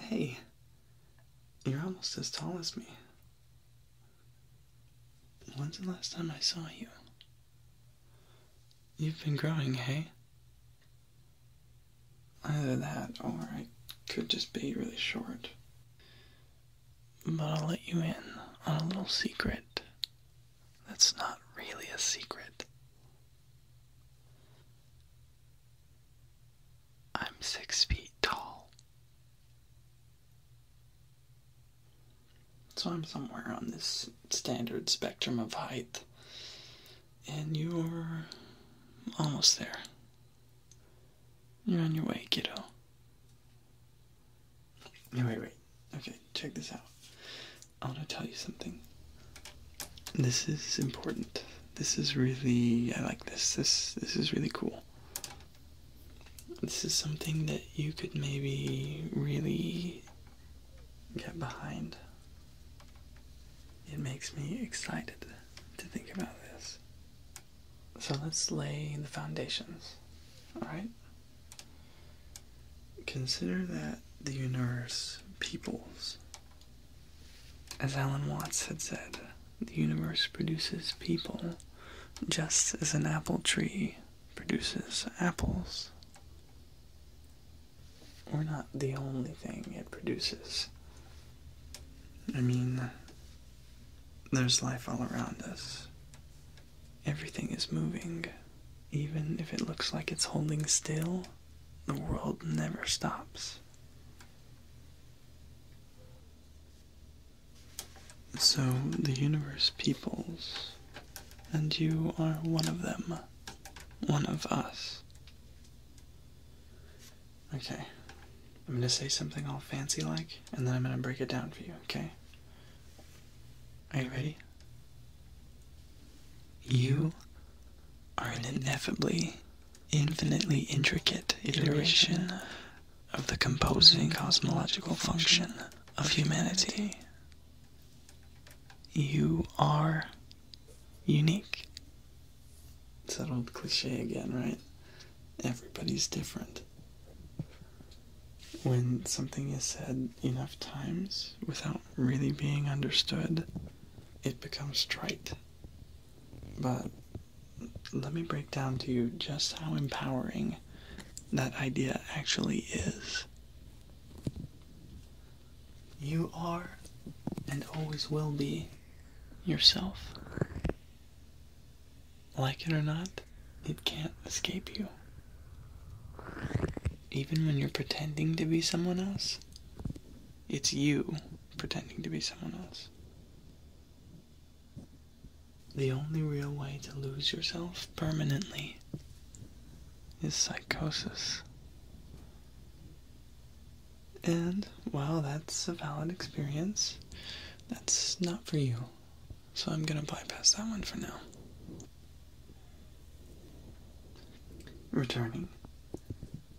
Hey, you're almost as tall as me. When's the last time I saw you? You've been growing, hey? Either that, or I could just be really short. But I'll let you in on a little secret. That's not really a secret. I'm six feet tall. So I'm somewhere on this standard spectrum of height, and you're almost there. You're on your way, kiddo. No, wait, wait. Okay, check this out. I want to tell you something. This is important. This is really I like this. This this is really cool. This is something that you could maybe really get behind. It makes me excited to think about this. So let's lay the foundations. All right? Consider that the universe peoples. As Alan Watts had said, the universe produces people just as an apple tree produces apples. We're not the only thing it produces. I mean, there's life all around us. Everything is moving. Even if it looks like it's holding still, the world never stops. So the universe peoples, and you are one of them. One of us. Okay. I'm gonna say something all fancy like, and then I'm gonna break it down for you, okay? Are you ready? You are an ineffably, infinitely intricate iteration of the composing cosmological function of humanity. You are unique. It's that old cliche again, right? Everybody's different. When something is said enough times without really being understood, it becomes straight. But let me break down to you just how empowering that idea actually is. You are and always will be yourself. Like it or not, it can't escape you. Even when you're pretending to be someone else, it's you pretending to be someone else. The only real way to lose yourself permanently is psychosis. And while that's a valid experience, that's not for you. So I'm going to bypass that one for now. Returning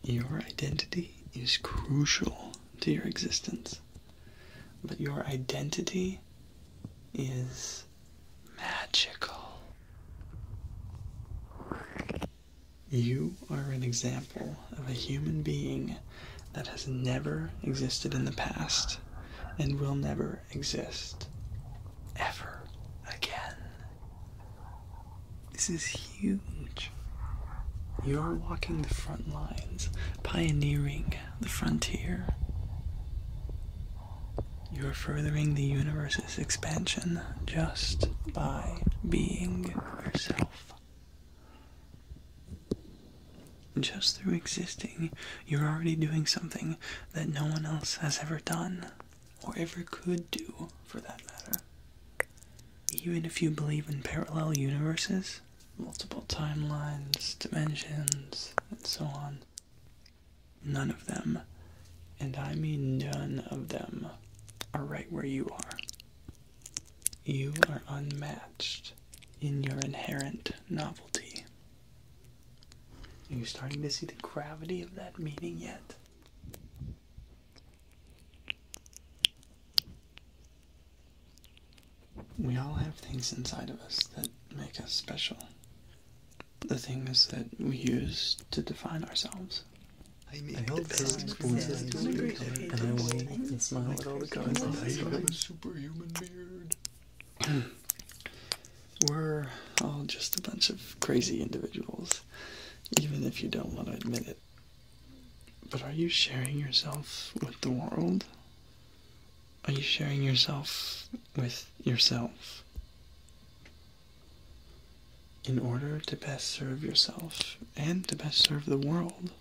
your identity is crucial to your existence, but your identity is magical. You are an example of a human being that has never existed in the past and will never exist ever again. This is huge. You are walking the front lines, pioneering the frontier. You are furthering the universe's expansion just by being yourself. Just through existing, you're already doing something that no one else has ever done or ever could do for that matter. Even if you believe in parallel universes, multiple timelines, dimensions, and so on, none of them, and I mean none of them, are right where you are. You are unmatched in your inherent novelty. Are you starting to see the gravity of that meaning yet? We all have things inside of us that make us special. The things that we use to define ourselves. I make I hope the best experiences to and I wait and smile at all the gods and I a superhuman beard. We're all just a bunch of crazy individuals even if you don't want to admit it. But are you sharing yourself with the world? Are you sharing yourself with yourself? In order to best serve yourself and to best serve the world,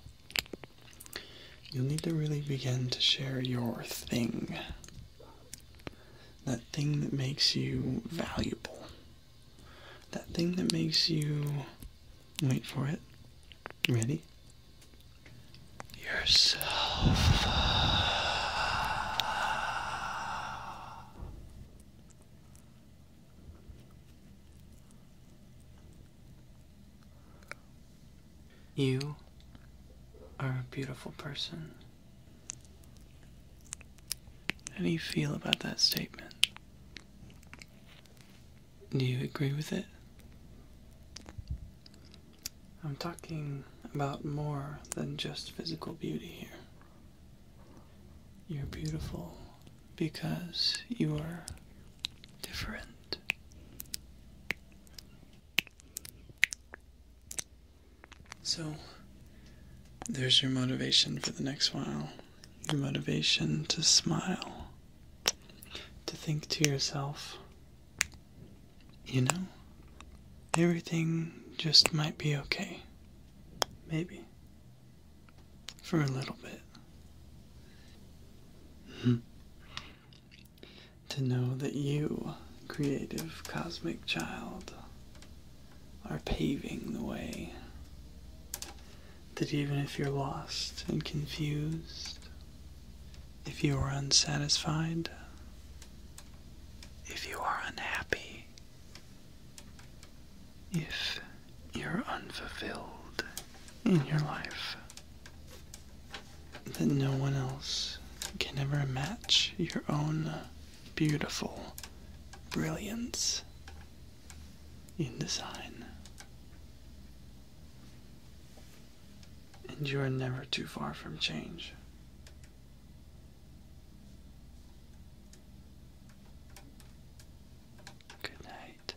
you'll need to really begin to share your thing. That thing that makes you valuable. That thing that makes you wait for it. Ready? Yourself. You are a beautiful person. How do you feel about that statement? Do you agree with it? I'm talking about more than just physical beauty here. You're beautiful because you are different. So, there's your motivation for the next while. Your motivation to smile, to think to yourself, you know, everything just might be okay. Maybe. For a little bit. Hmm. to know that you, creative cosmic child, are paving the way. That even if you're lost and confused, if you are unsatisfied, if you are unhappy, if you're unfulfilled in your life, that no one else can ever match your own beautiful brilliance in design. And you are never too far from change. Good night.